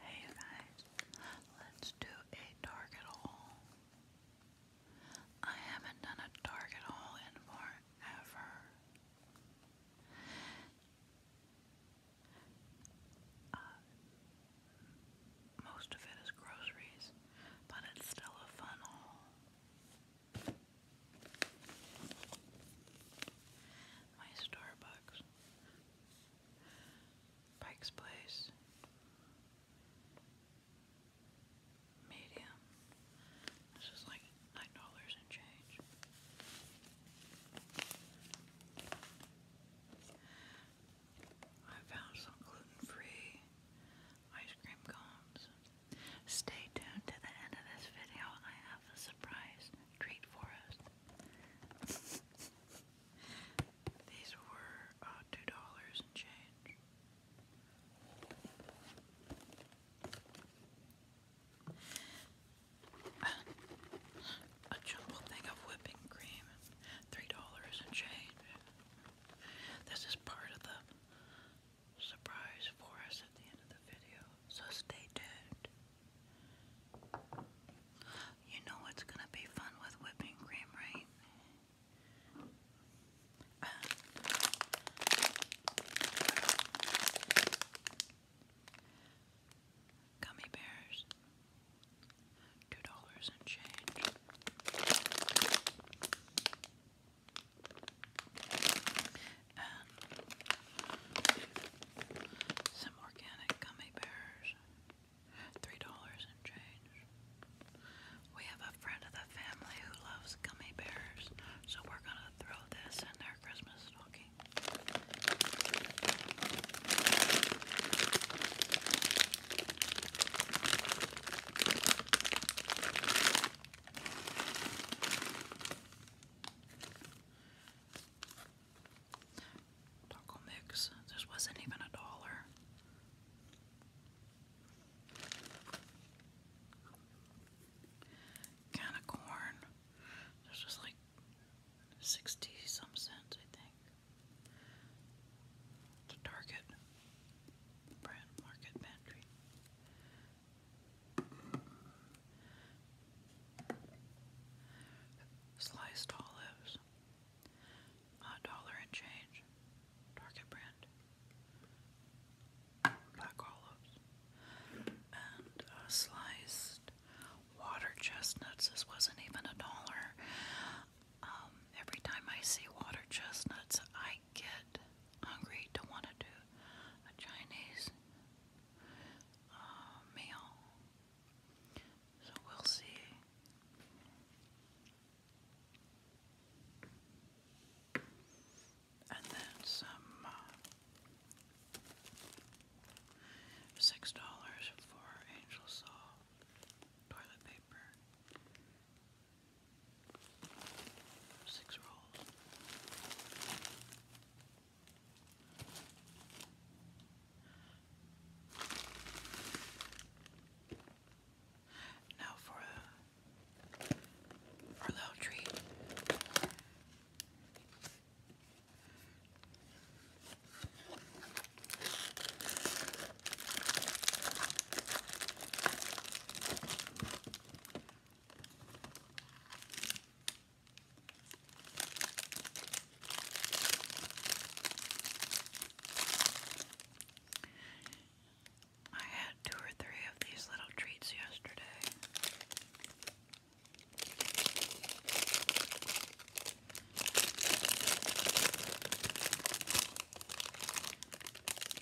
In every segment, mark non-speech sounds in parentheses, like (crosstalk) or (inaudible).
Hey guys, let's do a target haul. I haven't done a target haul in forever. Uh, most of it is groceries, but it's still a fun haul. My Starbucks Pike's Place, medium. This is like nine dollars and change. I found some gluten-free ice cream cones. Stay tuned to the end of this video. I have a surprise treat for us. (laughs) These were uh, two dollars and change. A jumble thing of whipping cream, three dollars and change. This is part of the surprise for us at the end of the video, so stay tuned. You know it's gonna be fun with whipping cream, right? gummy bears. Two dollars and change some organic gummy bears. Three dollars and change. We have a friend of the family who loves gummy bears, so we're gonna throw this in their Christmas stocking. Taco mix. This wasn't even a dollar. Can of corn. This was like 60 some cents, I think. Target brand market pantry. Sliced olives. A dollar and change. Target brand. Black olives. And sliced water chestnuts. This wasn't even a dollar. Um, every time I see water chestnuts, I get hungry to want to do a Chinese uh, So we'll see. And then some uh, $6 for Angel Saw toilet paper. Six rolls. Now for a, for a little treat. I had two or three of these little treats yesterday.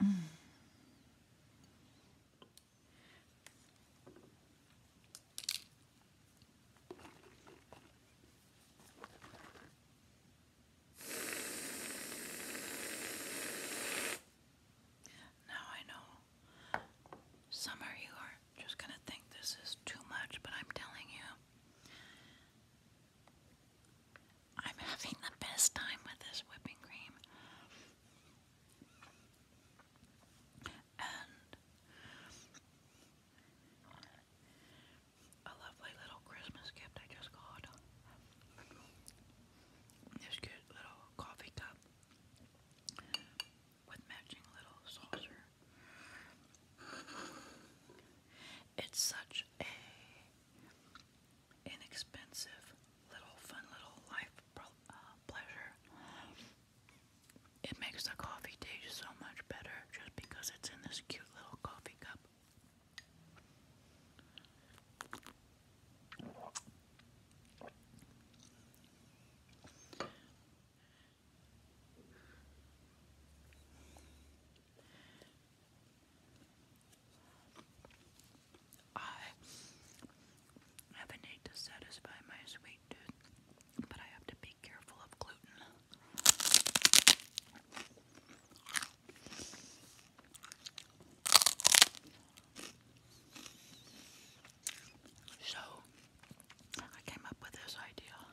Now I know some of you are just going to think this is too much, but I'm telling you, I'm having the best time with this whipping cream. And a lovely little Christmas gift I just got. This cute little coffee cup with matching little saucer. It's such a inexpensive little fun little life uh, pleasure. It makes the coffee taste so much better just because it's in this cute little coffee cup. I have a need to satisfy my sweet tooth, but I have to be careful of gluten. So, I came up with this idea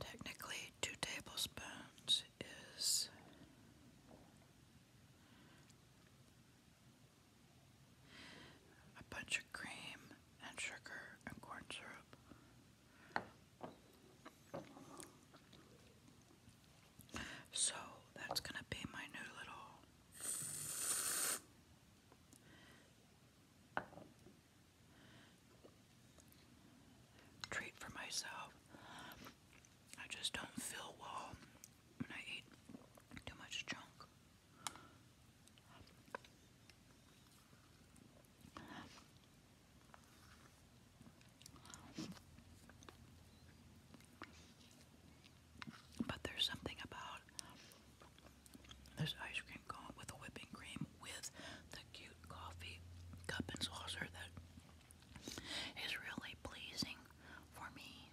Technically, two tablespoons is a bunch of cream and sugar and corn syrup. So that's going to be my new little treat for myself. I just don't feel well when I eat too much junk. But there's something about there's ice cream cone with a whipping cream with the cute coffee cup and saucer that is really pleasing for me.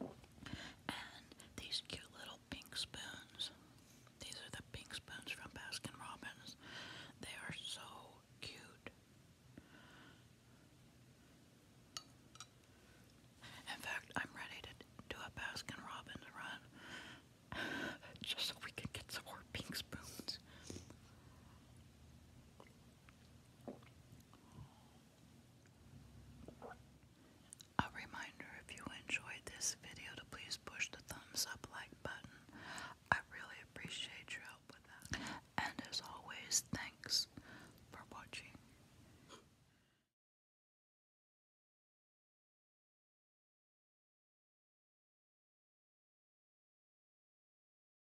And these cute little pink spoons. These are the pink spoons from Baskin Robbins. They are so cute. In fact, I'm ready to do a Baskin Robbins run (sighs) just so we can get some more pink spoons. A reminder if you enjoyed this video to please push the thumbs up like button. I really appreciate your help with that. And as always, thanks for watching.